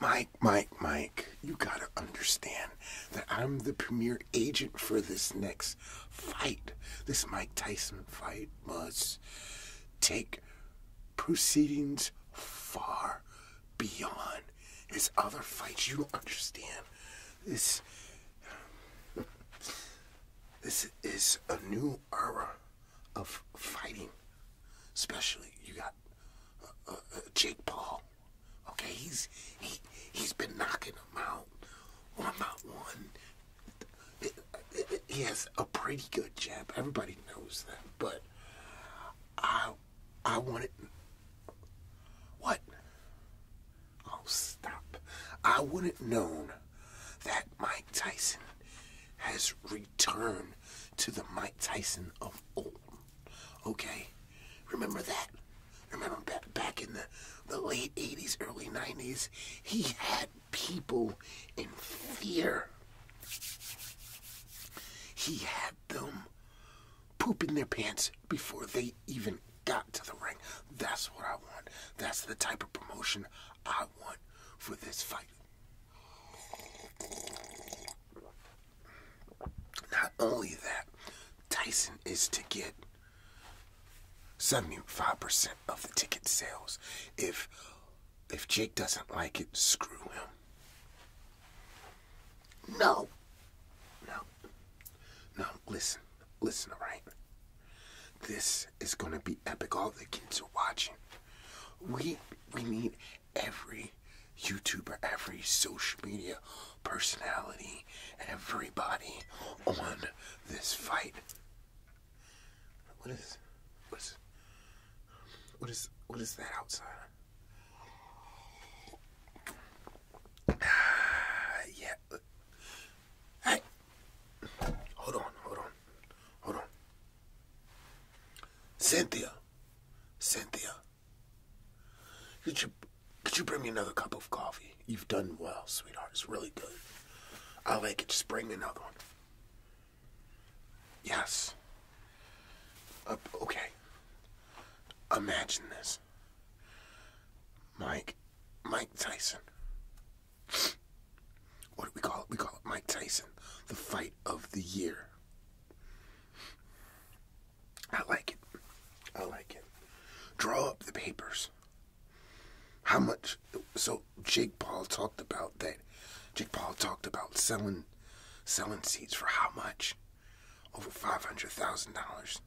Mike, Mike, Mike, you gotta understand that I'm the premier agent for this next fight. This Mike Tyson fight must take proceedings far beyond his other fights. You do understand. This this is a new era of fighting. Especially you got uh, uh, Jake Paul. Okay, he's he he's been knocking him out one by one. It, it, he has a pretty good jab. Everybody knows that, but I I wanted what? Oh, stop! I wouldn't known that Mike Tyson has reached. Turn to the Mike Tyson of old. Okay? Remember that? Remember back in the, the late 80s, early 90s? He had people in fear. He had them pooping their pants before they even got to the ring. That's what I want. That's the type of promotion I want for this fight. Not only that, Tyson is to get 75% of the ticket sales. If if Jake doesn't like it, screw him. No. No. No, listen. Listen, all right? This is going to be epic. All the kids are watching. We we need every YouTuber, every social media personality, and everybody on this fight. What is, what is, what is, what is that outside? Ah, yeah. Hey, hold on, hold on, hold on. Cynthia, Cynthia, could you could you bring me another cup of coffee? You've done well, sweetheart. It's really good. I like it. Just bring another one. Yes. Uh, okay. Imagine this. Mike, Mike Tyson what do we call it? We call it Mike Tyson, the fight of the year. I like it. I like it. Draw up the papers. How much? So Jake Paul talked about that. Jake Paul talked about selling, selling seats for how much? Over five hundred thousand dollars.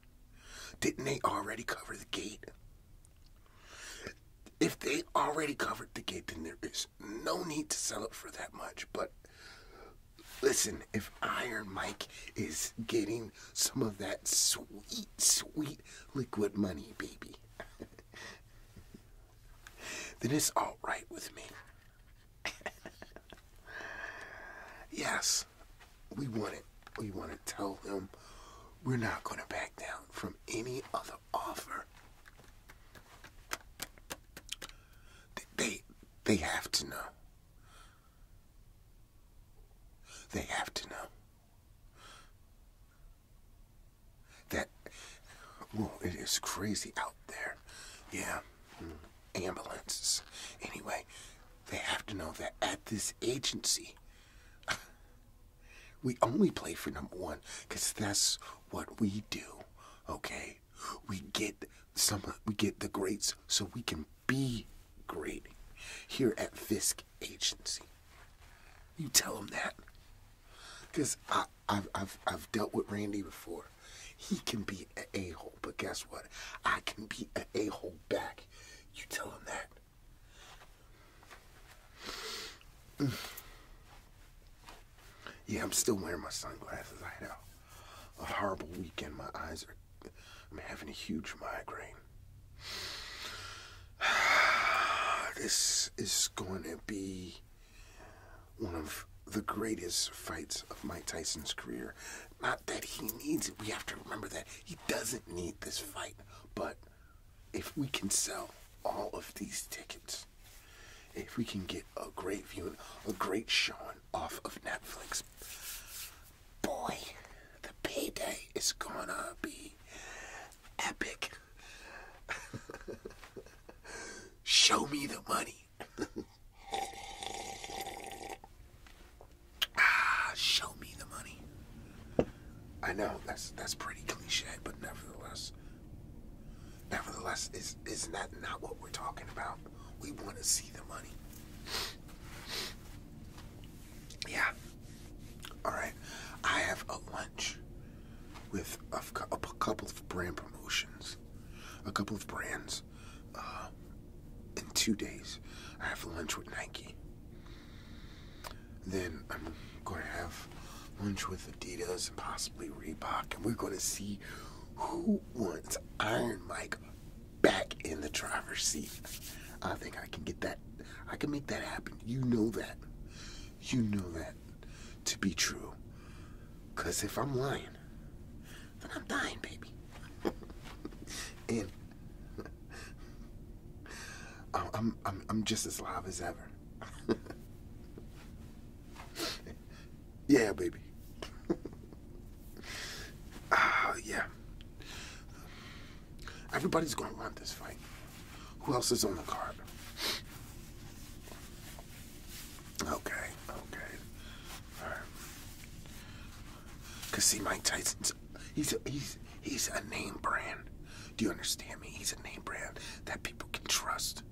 Didn't they already cover the gate? If they already covered the gate, then there is no need to sell it for that much, but listen, if Iron Mike is getting some of that sweet, sweet liquid money, baby, then it's all right with me. yes, we want it. We want to tell them we're not going to back down from any other offer. They, they have to know. They have to know. That, well, it is crazy out there. Yeah. Hmm, ambulances. Anyway, they have to know that at this agency, we only play for number one because that's what we do, okay? We get some we get the greats so we can be great here at Fisk Agency. You tell him that. Because I've, I've, I've dealt with Randy before. He can be a a-hole, but guess what? I can be a a-hole back. You tell him that. Yeah, I'm still wearing my sunglasses. I had a, horrible weekend. My eyes are. I'm having a huge migraine. This is going to be one of the greatest fights of Mike Tyson's career. Not that he needs it. We have to remember that. He doesn't need this fight. But if we can sell all of these tickets, if we can get a great viewing, a great showing off of Netflix, boy, the payday is gonna be epic. Show me the money. ah, show me the money. I know that's that's pretty cliche, but nevertheless. Nevertheless, is, isn't not what we're talking about? We want to see the money. Yeah. All right. I have a lunch with a, a, couple of brand promotions, a couple of brands. Uh, in two days, I have lunch with Nike. Then I'm going to have lunch with Adidas and possibly Reebok, and we're going to see who wants Iron Mike back in the driver's seat. I think I can get that. I can make that happen. You know that. You know that to be true. Because if I'm lying, then I'm dying, baby. and I'm, I'm, I'm just as alive as ever. yeah, baby. Ah, yeah. Everybody's going to want this fight. Who else is on the card? Okay, okay. All right. Cause see, Mike Tyson's he's a, he's he's a name brand. Do you understand me? He's a name brand that people can trust.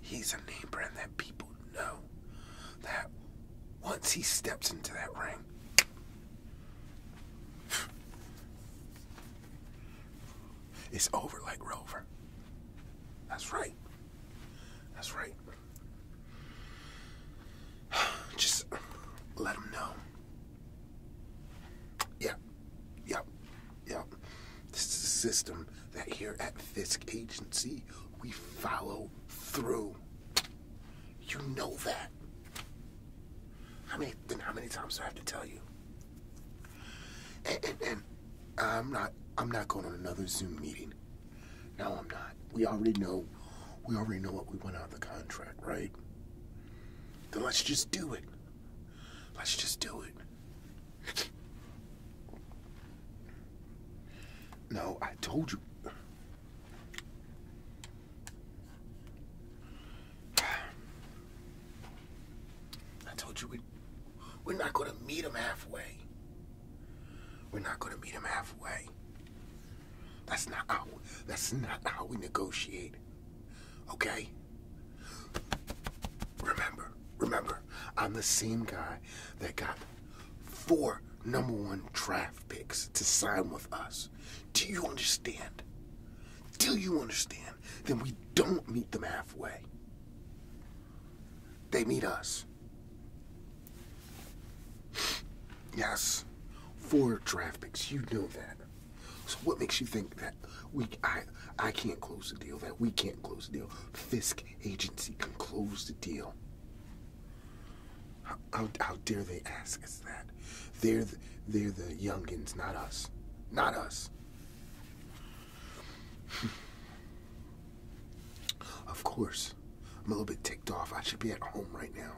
He's a name brand that people know that once he steps into that ring, it's over like Rover. That's right. That's right. Just let him know. Yeah, Yep, yep, This is a system that here at Fisk Agency we follow through. You know that. How many then how many times do I have to tell you? and I'm not I'm not going on another Zoom meeting. No, I'm not. We already know we already know what we want out of the contract, right? Then let's just do it. Let's just do it. No, I told you. I told you we, we're not going to meet him halfway. We're not going to meet him halfway. That's not how. That's not how we negotiate. Okay. Remember, remember, I'm the same guy that got four number one draft picks to sign with us. Do you understand? Do you understand? Then we don't meet them halfway. They meet us. Yes, four draft picks. You know that. So what makes you think that we I I can't close the deal, that we can't close the deal? Fisk agency can close the deal. How, how, dare they ask us that? They're they're the youngins, not us. Not us. of course. I'm a little bit ticked off. I should be at home right now.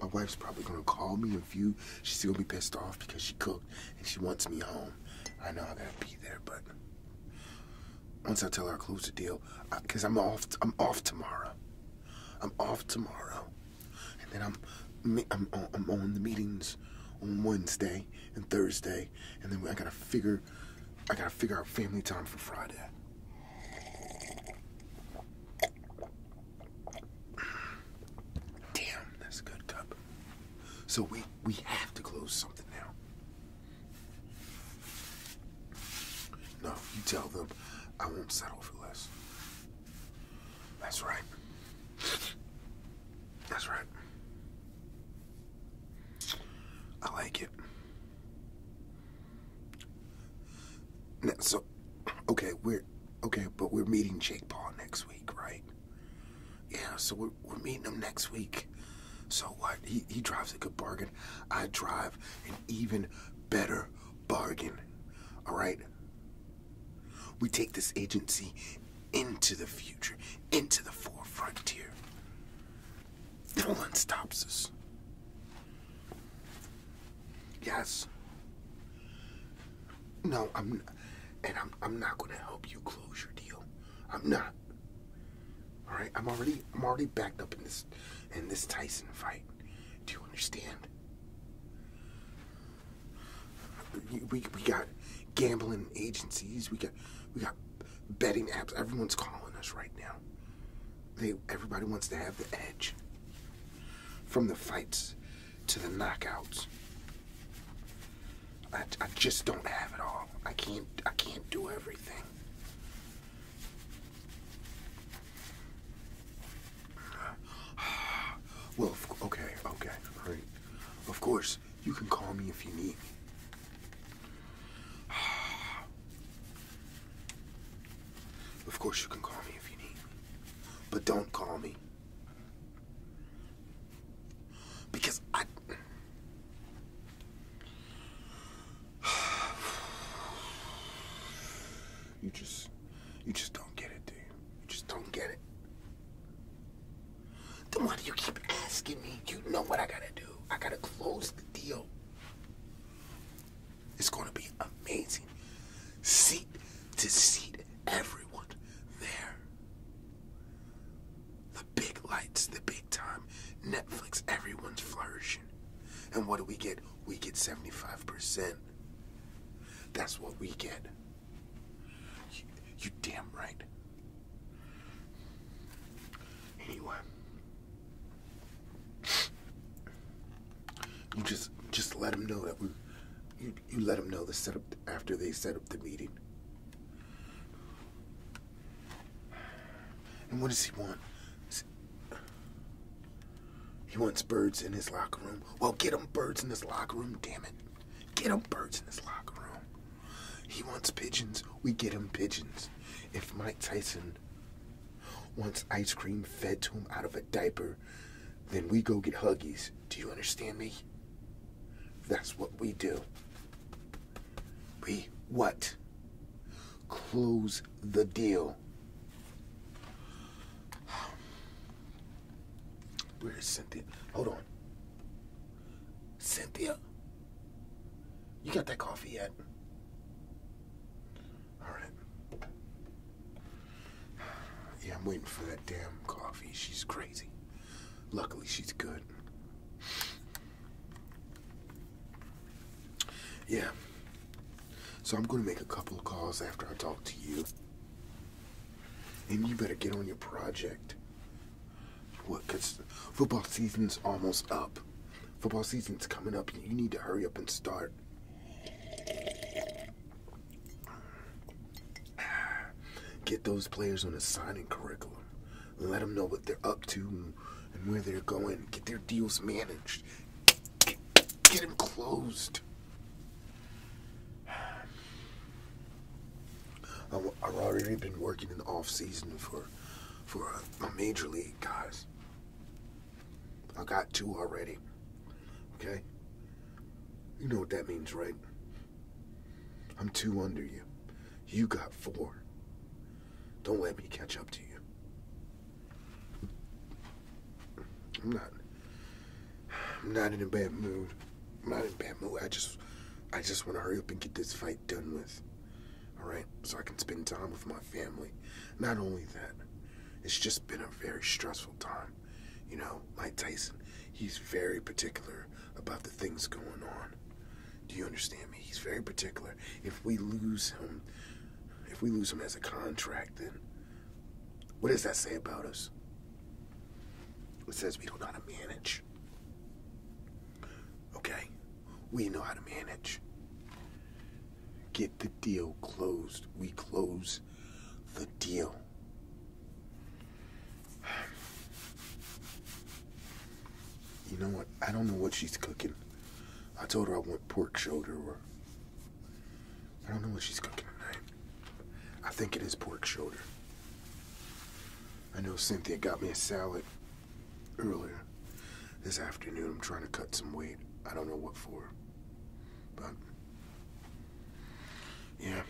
My wife's probably gonna call me if you. She's gonna be pissed off because she could and she wants me home. I know I gotta be there, but once I tell her I close the deal, because I'm off, I'm off tomorrow. I'm off tomorrow, and then I'm, uh, I'm on the meetings on Wednesday and Thursday, and then I gotta figure, I gotta figure out family time for Friday. Damn, that's a good cup. So we we have to close something now. No, you tell them I won't settle for less. That's right. That's right. I like it. Now, so, okay, we're okay, but we're meeting Jake Paul next week, right? Yeah, so we're, we're meeting him next week. So what? He, he drives a good bargain. I drive an even better bargain. All right? We take this agency into the future, into the four frontier. No one stops us. Yes. No, I'm and I'm I'm not gonna help you close your deal. I'm not. All right, I'm already I'm already backed up in this in this Tyson fight. Do you understand? We, we, we got gambling agencies. We got we got betting apps. Everyone's calling us right now. They everybody wants to have the edge from the fights to the knockouts. I, just don't have it all. I can't I can't do everything. Well, okay, okay, all right. Of course, you can call me if you need me. Of course, you can call me if you need me. But don't call me because I. You just. You just don't get it, dude. you? just don't get it. Then why do you keep asking me? You know what I gotta do. I gotta close the deal. It's gonna be amazing. See, to seat everyone there. The big lights, the big time, Netflix, everyone's flourishing. And what do we get? We get 75%. That's what we get. You, damn right. Anyway. just just let them know that we you, let him know the setup after they set up the meeting. And what does he want? He wants birds in his locker room. Well, get him birds in his locker room, damn it. Get him birds in his locker room. He wants pigeons. We get him pigeons. If Mike Tyson wants ice cream fed to him out of a diaper, then we go get Huggies. Do you understand me? That's what we do. We what? Close the deal. Where is Cynthia? Hold on. Cynthia? You got that coffee yet? All right. Yeah, I'm waiting for that damn coffee. She's crazy. Luckily, she's good. Yeah. So I'm going to make a couple calls after I talk to you. And you better get on your project. What? Because football season's almost up. Football season's coming up, you need to hurry up and start. Get those players on a signing curriculum. Let them know what they're up to and where they're going. Get their deals managed. Get, them closed. I've already been working in the off season for for my major league guys. I got two already. Okay? You know what that means, right? I'm two under you. You got four. Don't let me catch up to you. I'm not. I'm not in a bad mood. I'm not in bad mood. I just, I just want to hurry up and get this fight done with. All right, so I can spend time with my family. Not only that, it's just been a very stressful time. You know, Mike Tyson, he's very particular about the things going on. Do you understand me? He's very particular. If we lose him, if we lose him as a contract, then what does that say about us? It says we don't know how to manage. Okay? We know how to manage. Get the deal closed. We close the deal? You know what? I don't know what she's cooking. I told her I want pork shoulder or. I don't know what she's cooking tonight. I think it is pork shoulder. I know Cynthia got me a salad earlier. This afternoon, I'm trying to cut some weight. I don't know what for. But, yeah.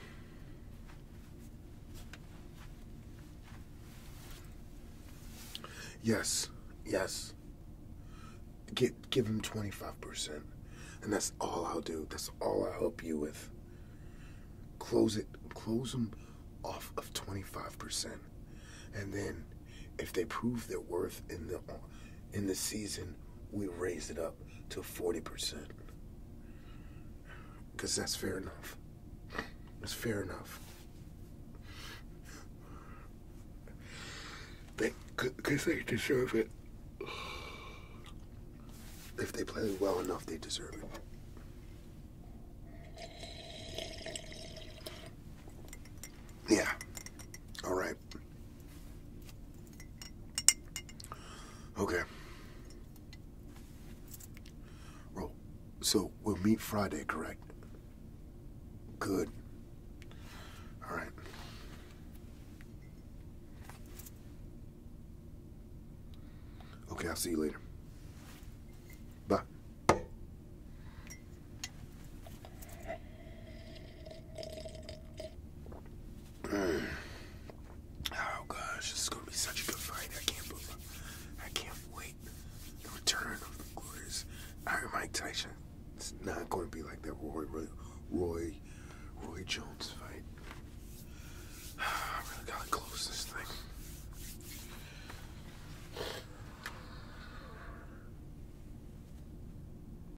Yes, yes. Get, give him 25%. And that's all I'll do. That's all I'll help you with. Close it, close them off of 25%. And then if they prove their worth in the in the season, we raise it up to 40%. Because that's fair enough. That's fair enough. Because they deserve it. If they play well enough, they deserve it. Yeah. All right. Okay. Roll. So we'll meet Friday, correct? Good. All right. Okay, I'll see you later. Bye. Mm. Oh gosh, this is gonna be such a good fight. I can't wait. The return of the glorious Iron Mike Tyson. It's not gonna be like that Roy Roy Roy, Jones fight. I really gotta close this thing.